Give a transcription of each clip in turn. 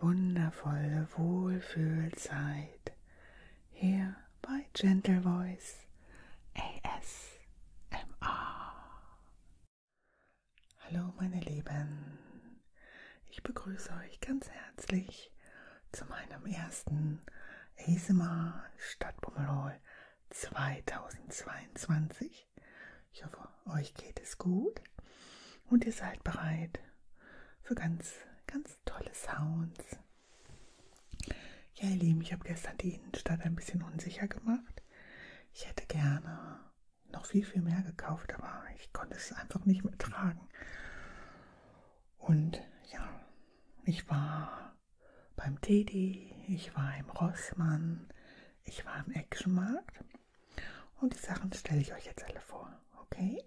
wundervolle Wohlfühlzeit hier bei Gentle Voice ASMR. Hallo meine Lieben, ich begrüße euch ganz herzlich zu meinem ersten ASMR Stadtbummel 2022. Ich hoffe, euch geht es gut und ihr seid bereit für ganz, ganz tolle Sounds. Ja, ihr Lieben, ich habe gestern die Innenstadt ein bisschen unsicher gemacht. Ich hätte gerne noch viel, viel mehr gekauft, aber ich konnte es einfach nicht mehr tragen. Und ja, ich war beim Teddy, ich war im Rossmann, ich war im Actionmarkt und die Sachen stelle ich euch jetzt alle vor. Okay?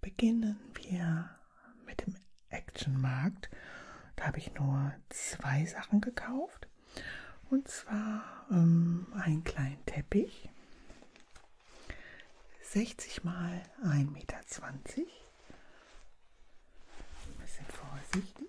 Beginnen wir mit dem Action-Markt. Da habe ich nur zwei Sachen gekauft. Und zwar ähm, einen kleinen Teppich. 60 mal 1,20 Meter. Ein bisschen vorsichtig.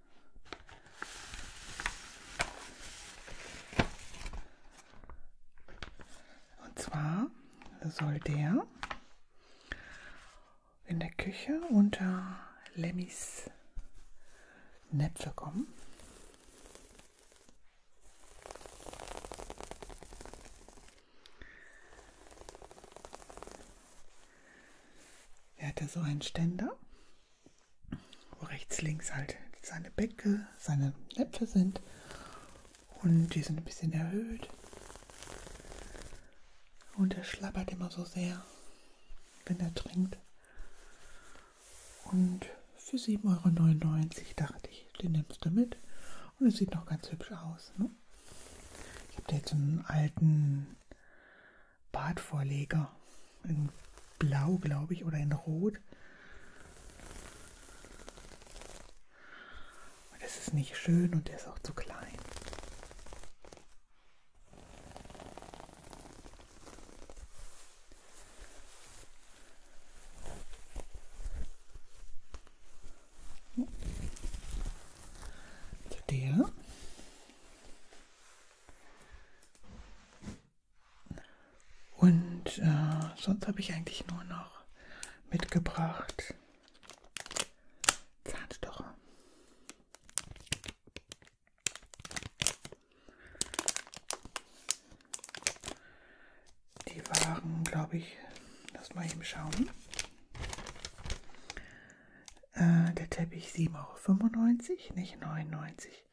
Und zwar soll der in der Küche unter Lemmys Näpfe kommen. Er hatte so einen Ständer wo rechts, links halt seine Bäcke, seine Näpfe sind. Und die sind ein bisschen erhöht. Und er schlappert immer so sehr, wenn er trinkt. Und für 7,99 Euro dachte ich, den nimmst du mit. Und es sieht noch ganz hübsch aus. Ne? Ich habe da jetzt so einen alten Bartvorleger. In Blau, glaube ich, oder in Rot. Das ist nicht schön und der ist auch zu klein. Der und äh, sonst habe ich eigentlich nur noch mitgebracht Zahnstocher. Die waren, glaube ich, lass mal eben schauen. Äh, der Teppich 7,95 Euro, nicht 99.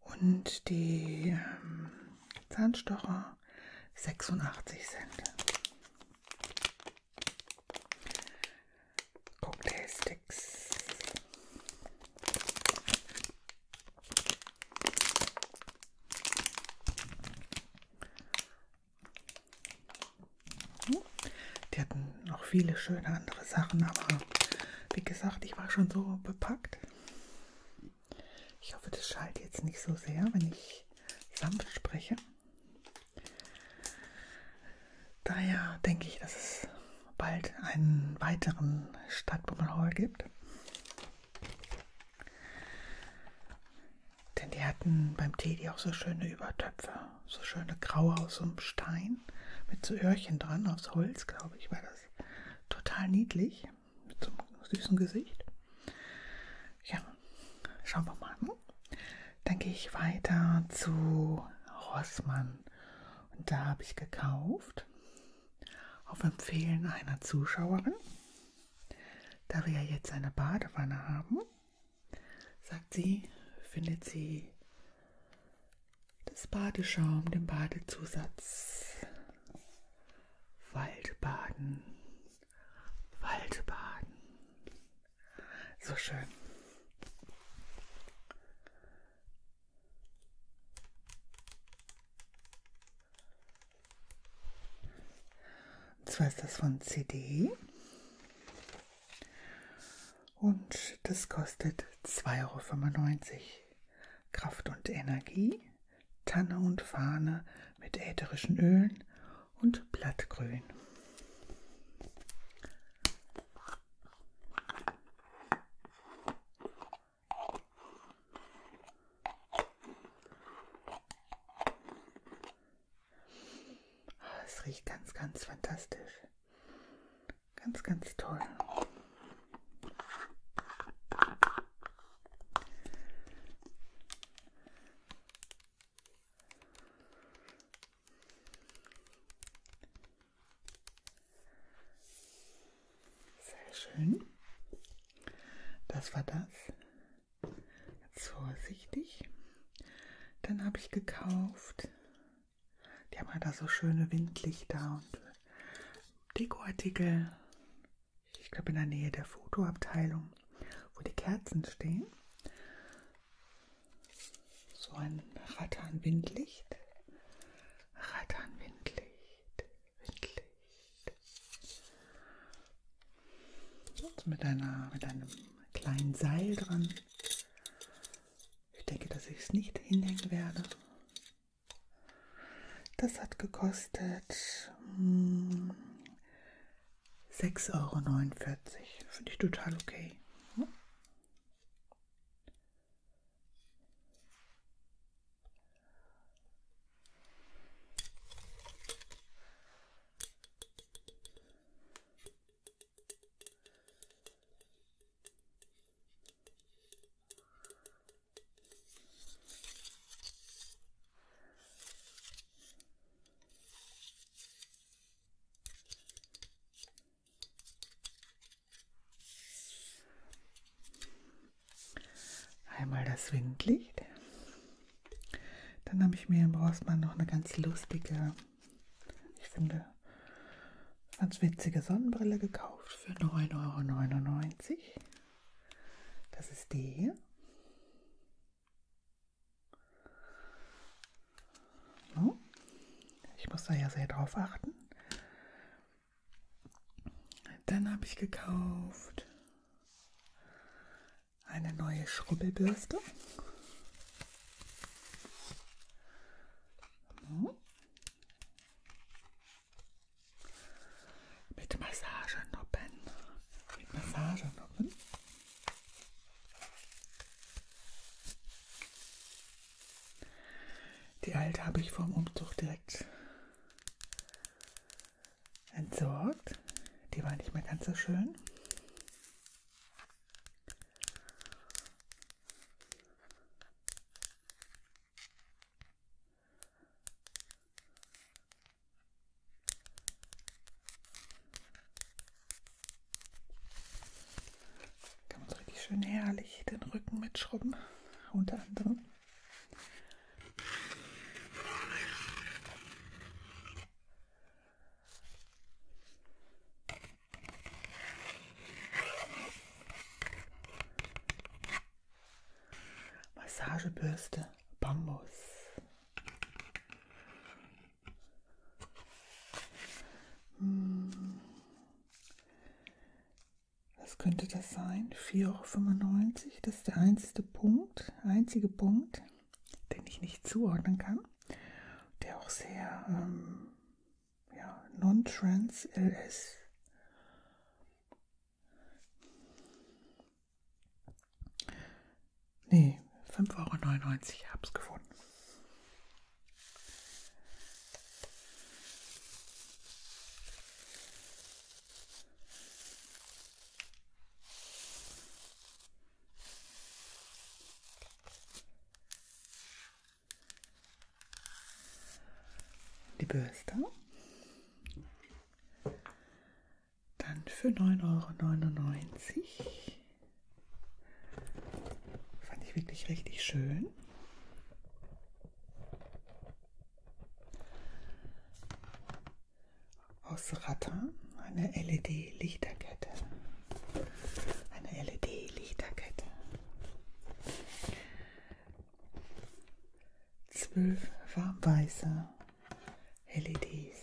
Und die ähm, Zahnstocher 86 Cent. Cocktailsticks. Hm? Die hatten noch viele schöne andere Sachen, aber wie gesagt, ich war schon so bepackt. Ich hoffe, das schallt jetzt nicht so sehr, wenn ich sanft spreche. Daher denke ich, dass es bald einen weiteren Stadtbummelhall gibt. Denn die hatten beim Teddy auch so schöne Übertöpfe so schöne graue aus so einem Stein mit so Öhrchen dran, aus Holz, glaube ich, war das. Total niedlich, mit so einem süßen Gesicht. Ja, schauen wir mal. Hm? Dann gehe ich weiter zu Rossmann. Und da habe ich gekauft, auf Empfehlen einer Zuschauerin, da wir ja jetzt eine Badewanne haben, sagt sie, findet sie des Badeschaum, dem Badezusatz. Waldbaden. Waldbaden. So schön. Und zwar ist das von CD. Und das kostet 2,95 Euro. Kraft und Energie, Tanne und Fahne mit ätherischen Ölen und Blattgrün. Ah, es riecht ganz, ganz fantastisch. Ganz, ganz toll. Sehr schön. Das war das. Jetzt vorsichtig. Dann habe ich gekauft die haben ja halt da so schöne Windlichter und Dekoartikel. Ich glaube in der Nähe der Fotoabteilung, wo die Kerzen stehen. So ein Ratternwindlicht. Ratternwindlicht. Windlicht. Und mit, einer, mit einem kleinen Seil dran. Ich denke, dass ich es nicht hinhängen werde. Das hat gekostet mh, hm, 6,49 Euro. Finde ich total okay. Hm? Einmal das Windlicht. Dann habe ich mir im Rossmann noch eine ganz lustige ich finde, ganz witzige Sonnenbrille gekauft für 9,99 Euro. Das ist die hier. So. Ich muss da ja sehr drauf achten. Dann habe ich gekauft eine neue Schrubbelbürste. Mit Massagenoppen. Mit Massagenoppen. Die alte habe ich vor dem Umzug direkt entsorgt. Die war nicht mehr ganz so schön. Kann man richtig schön herrlich den Rücken mitschrubben, unter anderem. Massagebürste Bambus. Hm. Was könnte das sein? 4,95 Euro, das ist der einzige Punkt, einzige Punkt den ich nicht zuordnen kann, der auch sehr ähm, ja, non-trans LS Nee, 5,99 Euro, ich hab's gefunden die Bürste. Dann für 9,99 Euro. Fand ich wirklich richtig schön aus Rattan, eine LED-Lichterkette. Eine LED-Lichterkette. Zwölf warmweiße LEDs.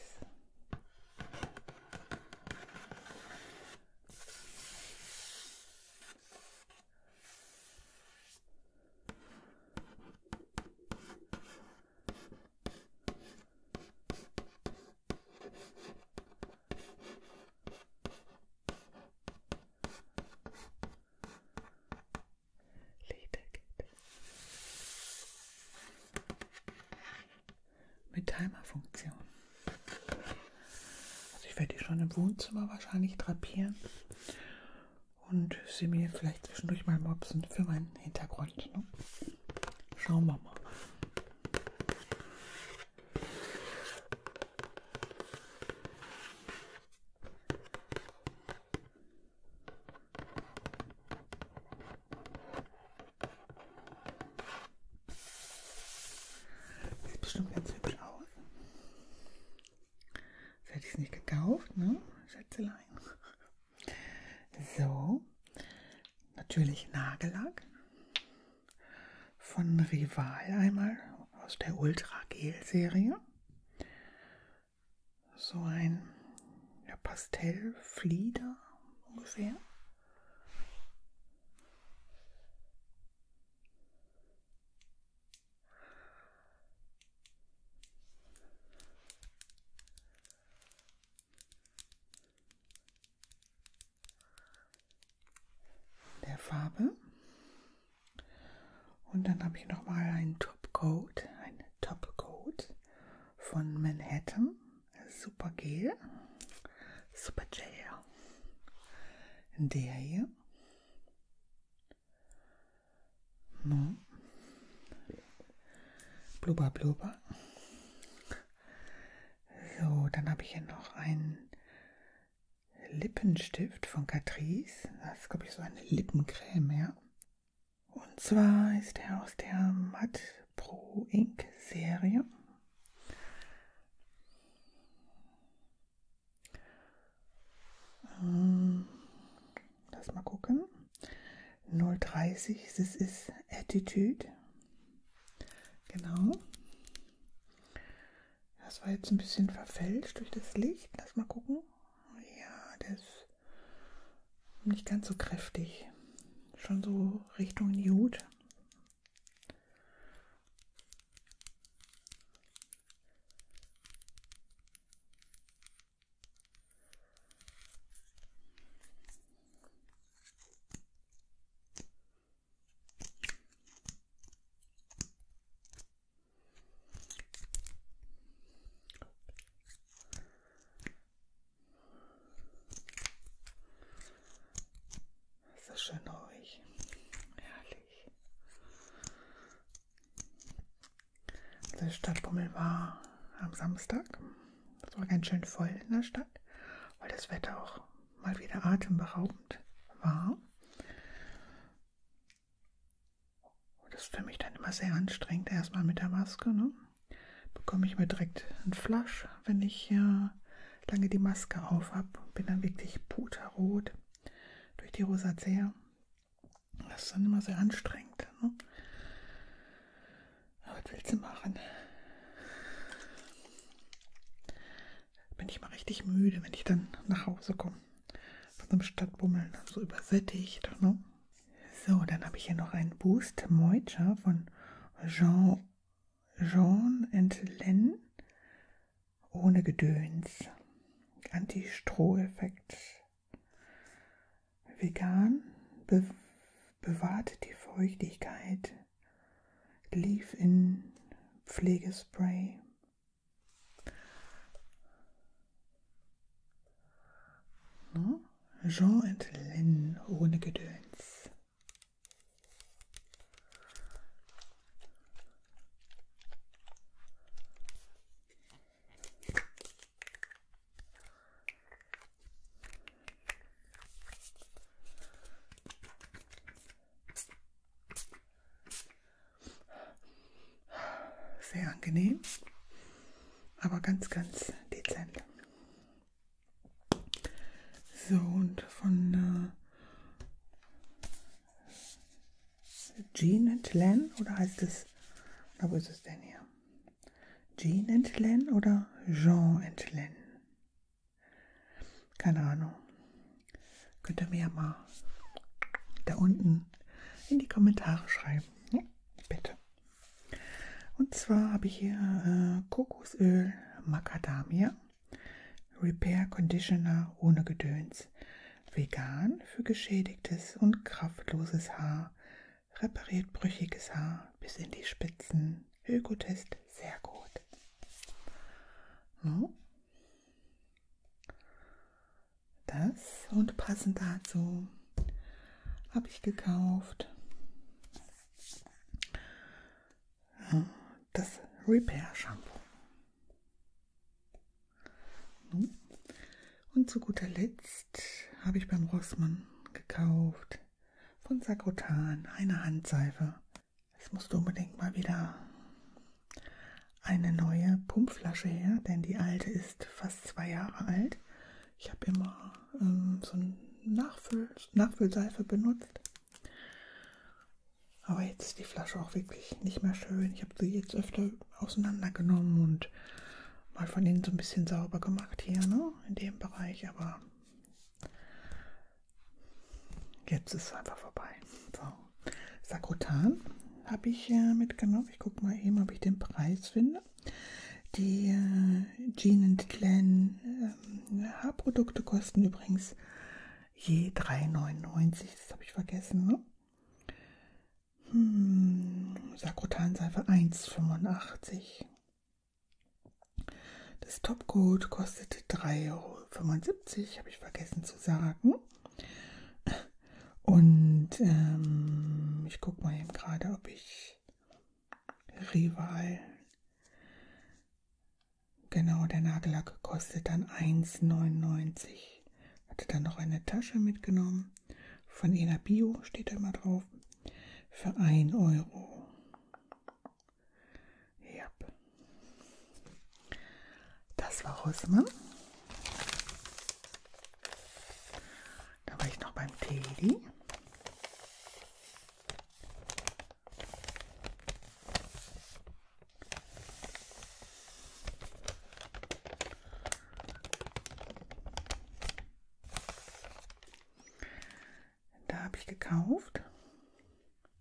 Mit Timer-Funktion. Also ich werde die schon im Wohnzimmer wahrscheinlich drapieren und sie mir vielleicht zwischendurch mal mopsen für meinen Hintergrund. Ne? Schauen wir mal. Sieht bestimmt ganz hübsch aus. Das hätte ich es nicht gekauft, ne? Schätzelein. So, natürlich Nagellack von Rival einmal aus der Ultra Gel Serie. So ein ja, Pastellflieder ungefähr der Farbe. Und dann habe ich nochmal einen Topcoat, einen Topcoat von Manhattan, Super Gel, Super Gel. Der hier. No. Hm. Ja. Blubber, blubber. So, dann habe ich hier noch einen Lippenstift von Catrice. Das ist, glaube ich, so eine Lippencreme, ja. Und zwar ist er aus der Matt Pro Ink Serie. Hm, lass mal gucken. 030, das ist Attitude. Genau. Das war jetzt ein bisschen verfälscht durch das Licht. Lass mal gucken. Ja, der ist nicht ganz so kräftig. Schon so Richtung Nude. So schön ruhig. Herrlich. Der Stadtbummel war am Samstag. Es war ganz schön voll in der Stadt, weil das Wetter auch mal wieder atemberaubend war. Und das ist für mich dann immer sehr anstrengend, erstmal mit der Maske. Ne? Bekomme ich mir direkt einen Flasch, wenn ich äh, lange die Maske auf habe. Bin dann wirklich puterrot durch die Rosazea. Das ist dann immer sehr anstrengend. Ne? Was willst du machen? Bin ich mal richtig müde, wenn ich dann nach Hause komme. Von so einem Stadtbummeln, so übersättigt. Ne? So, dann habe ich hier noch einen Boost Moitcher von Jean, Jean and Len. Ohne Gedöns. Anti-Stroh-Effekt. Vegan be bewahrte die Feuchtigkeit, lief in Pflegespray. No? Jean und Lynn ohne Gedöns. Sehr angenehm, aber ganz, ganz dezent. So, und von äh, Jean Tlan, oder heißt es, oder wo ist es denn hier? Jean Entlen oder Jean Entlen? Keine Ahnung. Könnt ihr mir ja mal da unten in die Kommentare schreiben. Ja, bitte. Und zwar habe ich hier äh, Kokosöl Macadamia Repair Conditioner ohne Gedöns. Vegan für geschädigtes und kraftloses Haar repariert brüchiges Haar bis in die Spitzen. Ökotest sehr gut. So. Das und passend dazu habe ich gekauft das Repair Shampoo. Und zu guter Letzt habe ich beim Rossmann gekauft von Sakrotan eine Handseife. Es musste unbedingt mal wieder eine neue Pumpflasche her, denn die alte ist fast zwei Jahre alt. Ich habe immer ähm, so eine Nachfüll Nachfüllseife benutzt. Aber jetzt ist die Flasche auch wirklich nicht mehr schön. Ich habe sie jetzt öfter auseinandergenommen und mal von innen so ein bisschen sauber gemacht hier, ne? In dem Bereich, aber jetzt ist es einfach vorbei. So, Sakrotan habe ich äh, mitgenommen. Ich gucke mal eben, ob ich den Preis finde. Die äh, Jean Clan äh, Haarprodukte kosten übrigens je 3,99. Das habe ich vergessen. Ne? Hm, Sakrotanseife 1,85. Das Topcoat kostete 3,75 Euro, habe ich vergessen zu sagen. Und ähm, ich gucke mal eben gerade, ob ich Rival. Genau, der Nagellack kostet dann 1,99. Hatte dann noch eine Tasche mitgenommen. Von Ena Bio steht da immer drauf. Für 1 Euro. Ja. Das war Rossmann. Da war ich noch beim Teddy. Da habe ich gekauft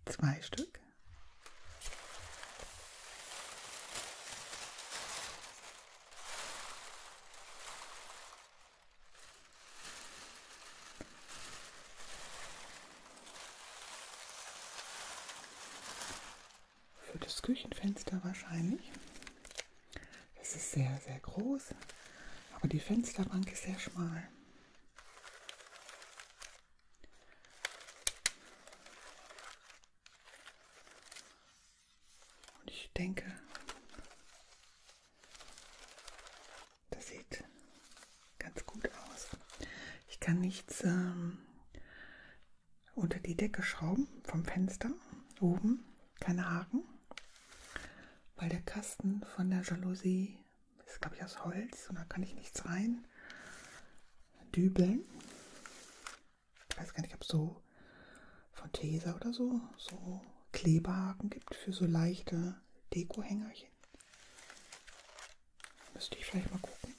zwei Stück für das Küchenfenster wahrscheinlich. Das ist sehr, sehr groß, aber die Fensterbank ist sehr schmal. Und ich denke, das sieht ganz gut aus. Ich kann nichts ähm, unter die Decke schrauben vom Fenster oben, keine Haken, weil der Kasten von der Jalousie ist, glaube ich, aus Holz und da kann ich nichts rein dübeln. Ich weiß gar nicht, ob es so von Tesa oder so, so Kleberhaken gibt für so leichte Dekohängerchen. Müsste ich vielleicht mal gucken.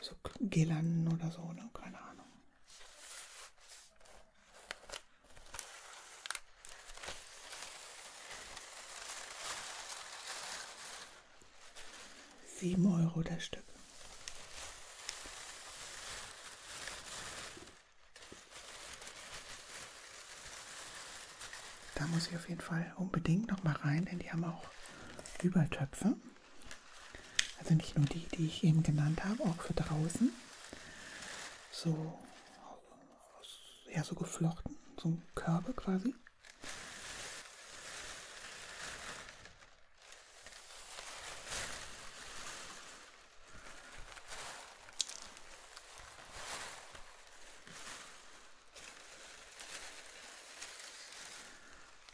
So Gelanden oder so, ne? Keine Ahnung. Sieben Euro das Stück. Da muss ich auf jeden Fall unbedingt noch mal rein, denn die haben auch Übertöpfe. Also nicht nur die, die ich eben genannt habe, auch für draußen. So, ja, so geflochten, so Körbe quasi.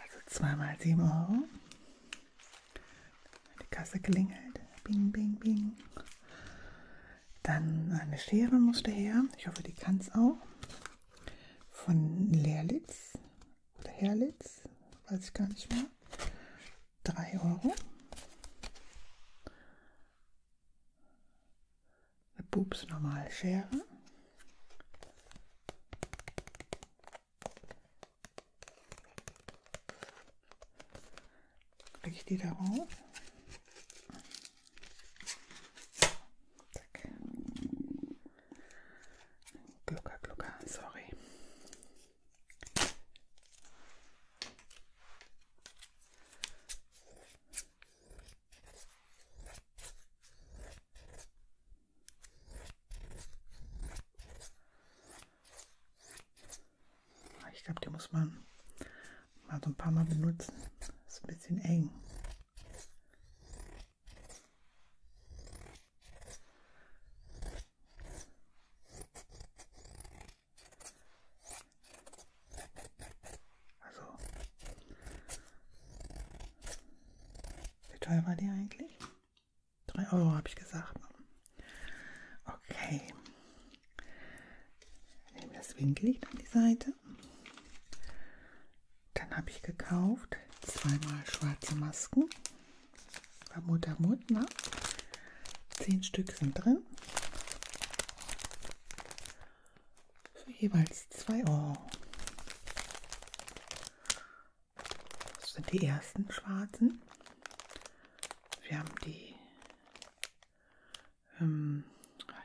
Also zweimal 7 Euro. Die Kasse klingelt. Bing, bing, bing. Dann eine Schere musste her. Ich hoffe, die kann es auch. Von Leerlitz oder Herlitz. Weiß ich gar nicht mehr. 3 Euro. Eine Pups normale Schere. Lege ich die da auf. Zack. Glucker, glucker, sorry. Ah, ich glaube, die muss man mal so ein paar Mal benutzen. Ist ein bisschen eng. Also wie teuer war die eigentlich? 3 Euro habe ich gesagt. Okay. Ich nehme das Winkellicht an die Seite. Dann habe ich gekauft zweimal schwarze Masken. Bei Mutter Mutner. Zehn Stück sind drin. Für jeweils 2 Euro. Das sind die ersten schwarzen. Wir haben die, ähm,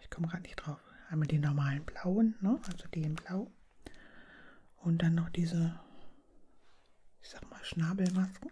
ich komme gerade nicht drauf, einmal die normalen blauen, ne? also die in blau. Und dann noch diese, ich sag mal, Schnabelmasken.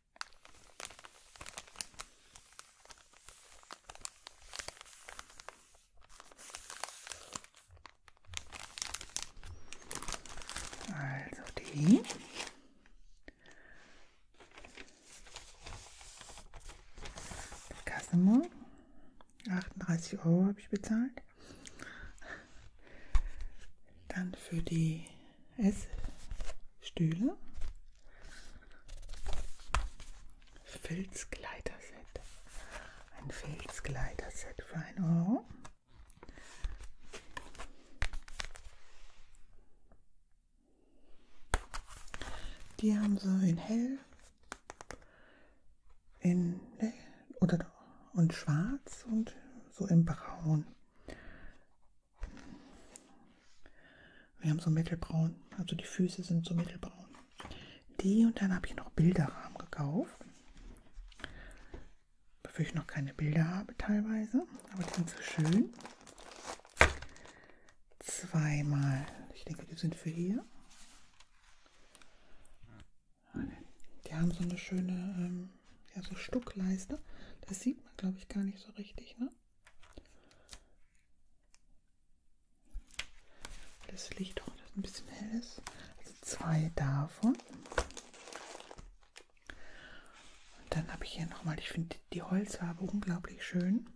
Also die. Casimir. 38 Euro habe ich bezahlt. Dann für die Essstühle. Filzkleiderset. Ein Filzkleiderset für 1 Euro. Die haben sie in hell in oder und schwarz und so in braun. Wir haben so mittelbraun, also die Füße sind so mittelbraun. Die und dann habe ich noch Bilderrahmen gekauft. Wofür ich noch keine Bilder habe teilweise, aber die sind so schön. Zweimal, ich denke, die sind für hier. Die haben so eine schöne ähm, ja, so Stuckleiste. Das sieht man, glaube ich, gar nicht so richtig. Ne? Das Licht auch oh, das ein bisschen hell ist. Also zwei davon. Und dann habe ich hier nochmal, ich finde die Holzfarbe unglaublich schön.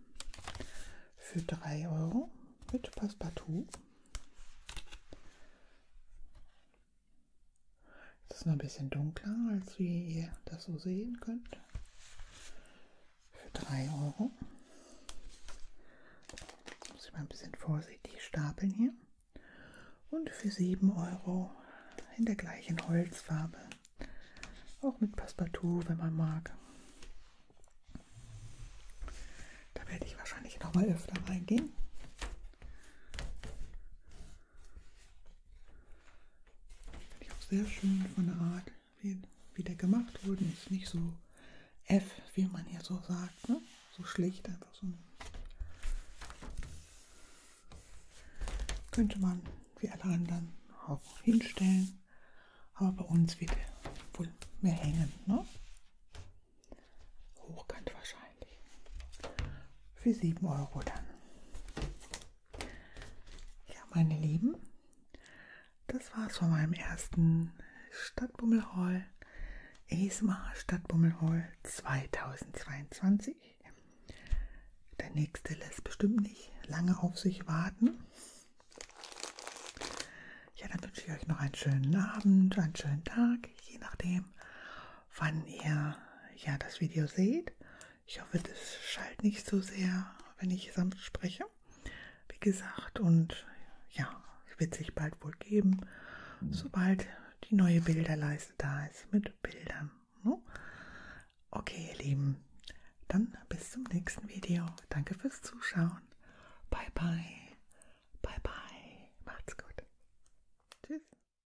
Für 3 Euro mit Passepartout. Es ist noch ein bisschen dunkler, als wie ihr das so sehen könnt. Für 3 Euro. Muss ich mal ein bisschen vorsichtig stapeln hier. Und für 7 Euro in der gleichen Holzfarbe. Auch mit Passepartout, wenn man mag. Da werde ich wahrscheinlich noch mal öfter reingehen. Finde ich auch sehr schön von der Art, wie, wie der gemacht wurde. Ist nicht so F, wie man hier so sagt. Ne? So schlicht, einfach so. Könnte man wie alle anderen auch hinstellen. Aber bei uns wird wohl mehr hängen. Ne? Hochkant wahrscheinlich wahrscheinlich. Für 7 Euro dann. Ja, meine Lieben, das war's von meinem ersten Stadtbummelhall. ESMA Stadtbummelhall 2022. Der nächste lässt bestimmt nicht lange auf sich warten. Ja, dann wünsche ich euch noch einen schönen Abend, einen schönen Tag, je nachdem, wann ihr ja das Video seht. Ich hoffe, das schallt nicht so sehr, wenn ich sonst spreche. Wie gesagt, und ja, es wird sich bald wohl geben, mhm. sobald die neue Bilderleiste da ist mit Bildern. Ne? Okay, ihr Lieben, dann bis zum nächsten Video. Danke fürs Zuschauen. Bye, bye. Bye, bye. Macht's gut. Tschüss.